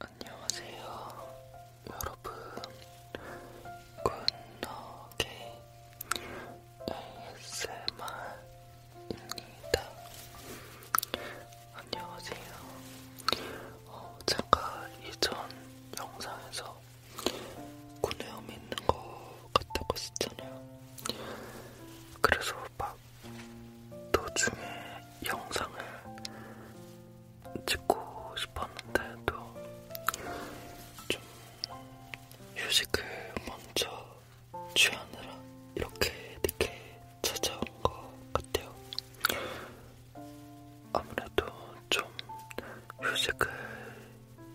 안녕하세요 여러분 굿노게 ASMR입니다 안녕하세요 어, 제가 이전 영상에서 구내염 있는 거 같다고 했잖아요 그래서 막 도중에 영상을 찍고 싶었는데도 좀 휴식을 먼저 취하느라 이렇게 늦게 찾아온 것 같아요. 아무래도 좀 휴식을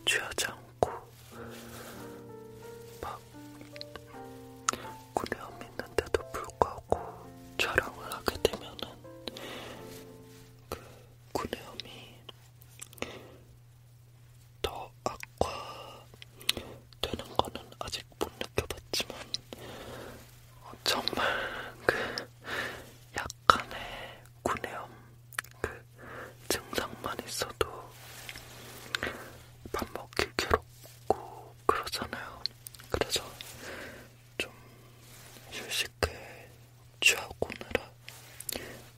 취하지 않고 막 구려함이 있는데도 불구하고 촬영을 하게 되면은 그 구내염이 더 악화되는 거는 아직 못 느껴봤지만 어, 정말 그 약간의 구내염 그 증상만 있어도 밥 먹기 괴롭고 그러잖아요. 그래서 좀 휴식을 취하고 오느라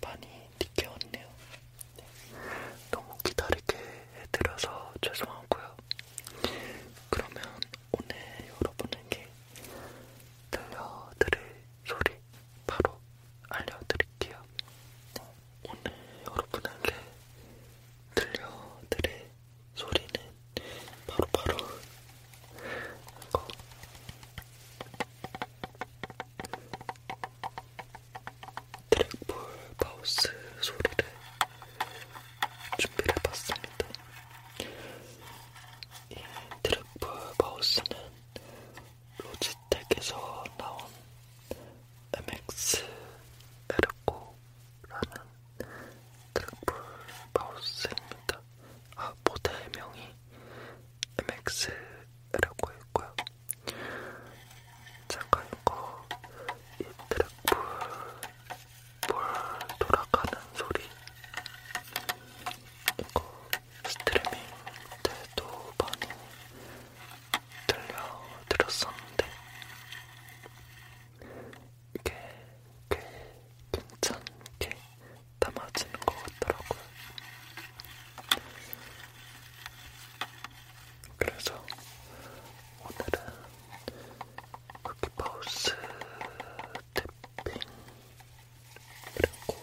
많이 늦게 왔네요. 네. 너무 기다리게 해드려서 죄송하고요. 그러면 오늘 여러분에게 들려드릴 소리 바로 알려드릴게요. 네. 오늘 여러분에게 들려드릴 소리는 바로바로 바로 트랙볼 마우스 소리를 준비를 해봤습니다. 이 트랙볼 마우스는 로지텍에서 나온 MX 에르코라는 트러플 마우스입니다. 아, 모델명이 MX라고 했고요. 잠깐 이거 이 트러플 볼 돌아가는 소리 이거 스트리밍 때도 많이 들려드렸었는데 이게 꽤 괜찮게 담아지는 것 같더라고요. 그래서 오늘은 여기 마우스 탭핑 그리고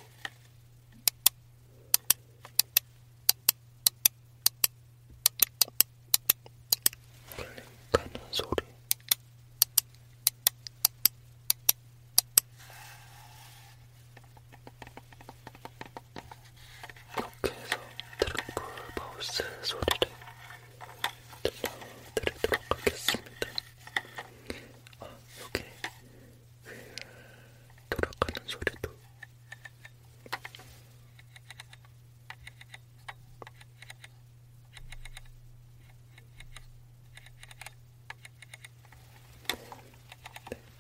클릭하는 소리. 이렇게 해서 트랙볼 마우스 소리를 들려드리도록 하겠습니다. 아, 여기 그 돌아가는 소리도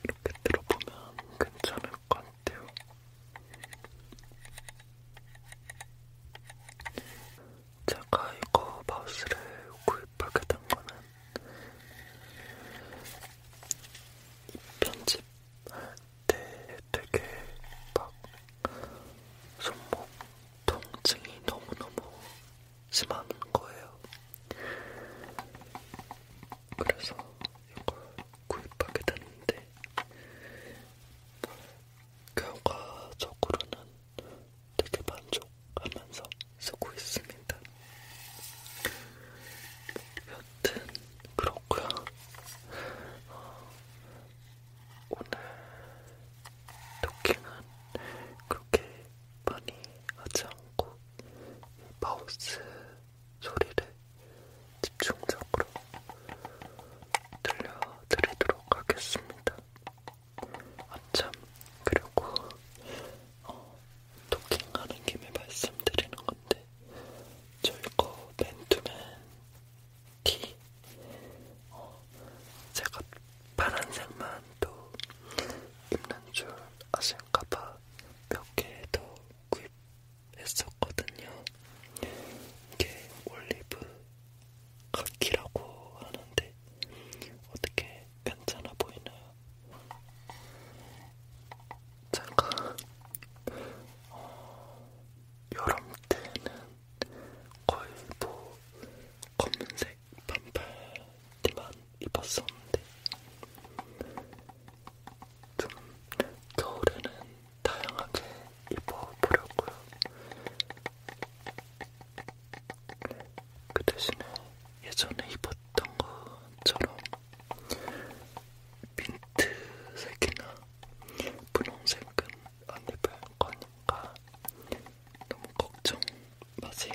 이렇게 들어보면 괜찮을 것 같아요. 제가 이거 마우스를 구입하게 된 거는 편집할 때 네, 되게 막 손목 통증이 너무너무 심한 거예요. 그래서 이걸 구입하게 됐는데 결과적으로는 되게 만족하면서 쓰고 있습니다. 여튼 그런 없고요. 오늘 토킹은 그렇게 많이 하지 않고 마우스 소리를 집중적으로 들려드리도록 하겠습니다. 아참, 그리고 어, 토킹하는 김에 말씀드리는 건데 저희 거 맨투맨 티. 어, 제가 파란색만 또 입는 줄 아실까봐 몇 개 더 구입했었거든요. 이게 올리브 카키라고 하는데 어떻게 괜찮아 보이나요? 제가 어, 여름 때는 거의 뭐 검은색 반팔티만 입었었는데 좀 겨울에는 다양하게 입어보려고요. 그 대신에 예전에 입었던 것처럼 민트색이나 분홍색은 안 입을 거니까 너무 걱정 마세요.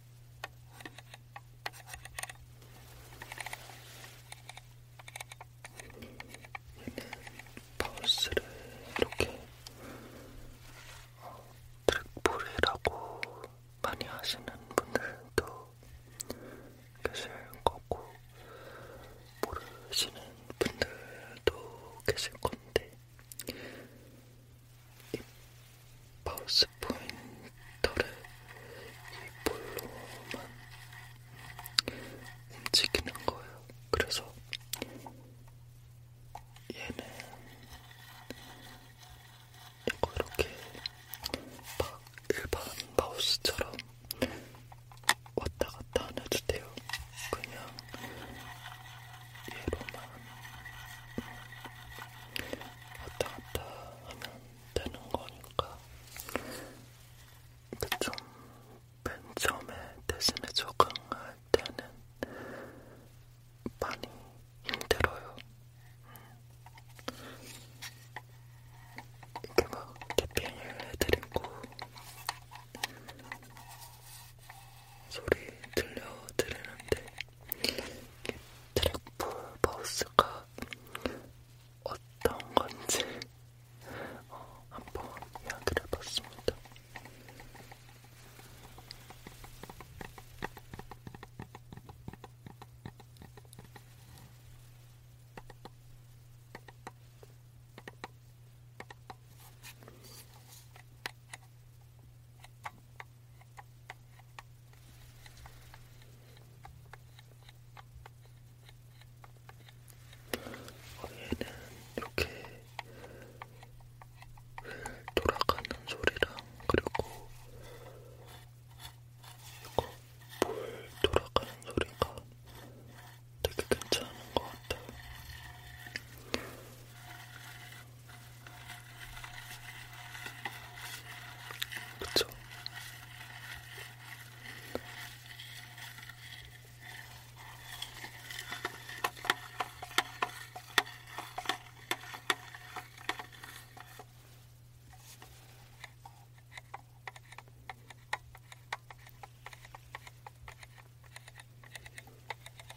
파우스를 이렇게 어, 트랙볼이라고 많이 하시는 분들도 계실 거고 모르시는 분들도 계실 건데 이 마우스 포인터를 이 볼로만 움직이는 거예요. 그래서 얘는 이거 이렇게 막 일반 마우스처럼 왔다 갔다 안 해도 돼요. 그냥 얘로만 왔다 갔다 하면 되는 거니까 근데 좀맨 처음에 대신에 적응할 때는 많이 힘들어요. 이렇게 막 탭핑을 해드리고 소리 들려드리는데 트랙풀 마우스가 어떤 건지 어, 한번 이야기를 해봤습니다. 위에는 이렇게 휠 돌아가는 소리랑 그리고 이거 볼 돌아가는 소리가 되게 괜찮은 것 같아요. 그쵸?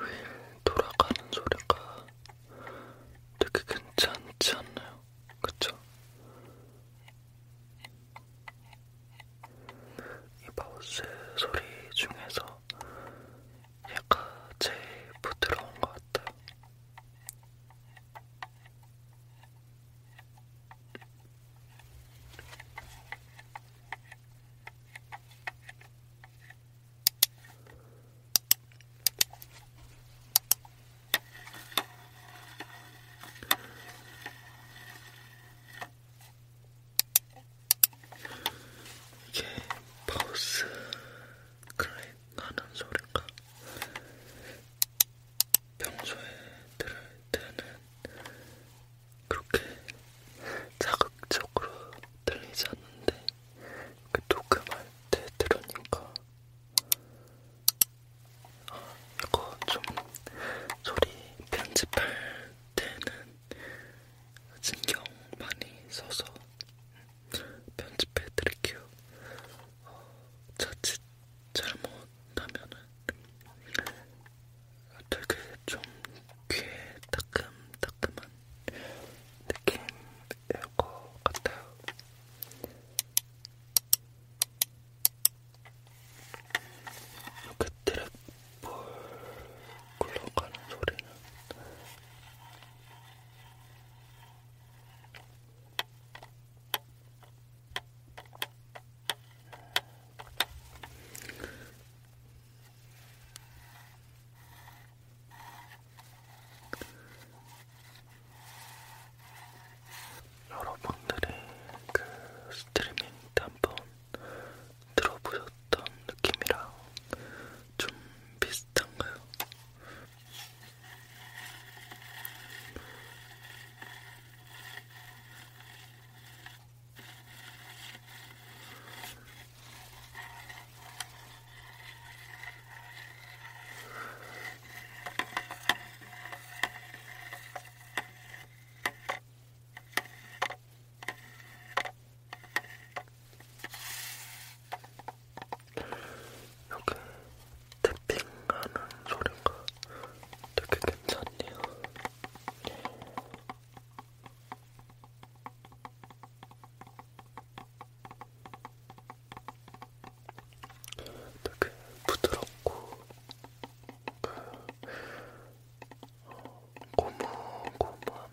이휠 돌아가는 소리가 되게 괜찮지 않나요? 그쵸? 이 마우스 소리 중에서 약간 제일 부드러운 것 같아요. 이게 파우스 클릭하는 소리가 평소에 들을 때는 그렇게 자극적으로 들리지 않는데 그 녹음할 때 들으니까 아, 이거 좀 소리 편집할 때는 신경 많이 써서 편집해 드릴게요. 어, 자칫 잘못하면은 되게 좀 귀에 따끔따끔한 느낌일 것 같아요. 이렇게 드랙볼 굴러가는 소리는 여러분들이 그 스트리밍 한번 들어보셨던 느낌이랑 좀 비슷한가요? 여기 태핑하는 소리가 되게 괜찮네요. 되게 부드럽고 그 어, 고무고무한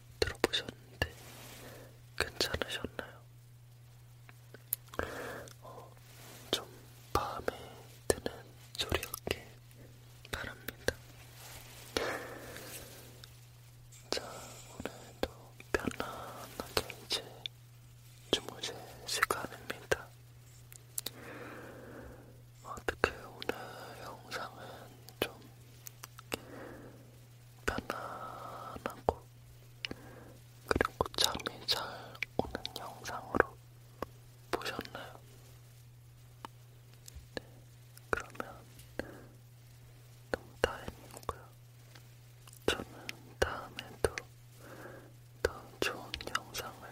들어보셨는데 괜찮으셨나요? 어, 좀 마음에 드는 소리였길 바랍니다. 자, 오늘도 편안하게 이제 주무실 시간입니다. 어떻게 오늘 영상은 좀 편안하고 그리고 잠이 잘 오는 영상으로 보셨나요? 네, 그러면 너무 다행이고요. 저는 다음에도 더 좋은 영상을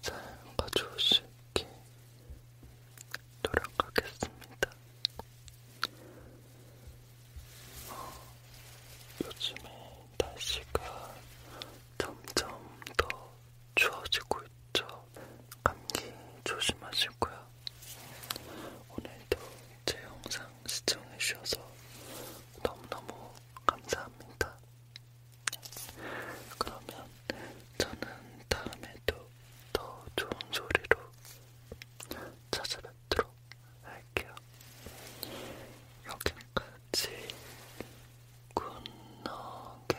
잘 가져오시기 돌아가겠습니다. 어, 요즘에 날씨가 점점 더 추워지고 있죠. 감기 조심하시고요. 오늘도 제 영상 시청해주셔서 너무너무 감사합니다. 그러면 저는 다음에도 더 좋은 소리로 찾아뵙도록 할게요. 여기까지 굿노게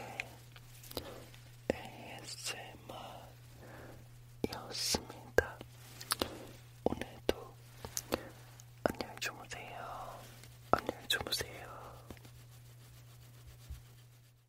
ASMR이었습니다. 오늘도 안녕히 주무세요. 안녕히 주무세요.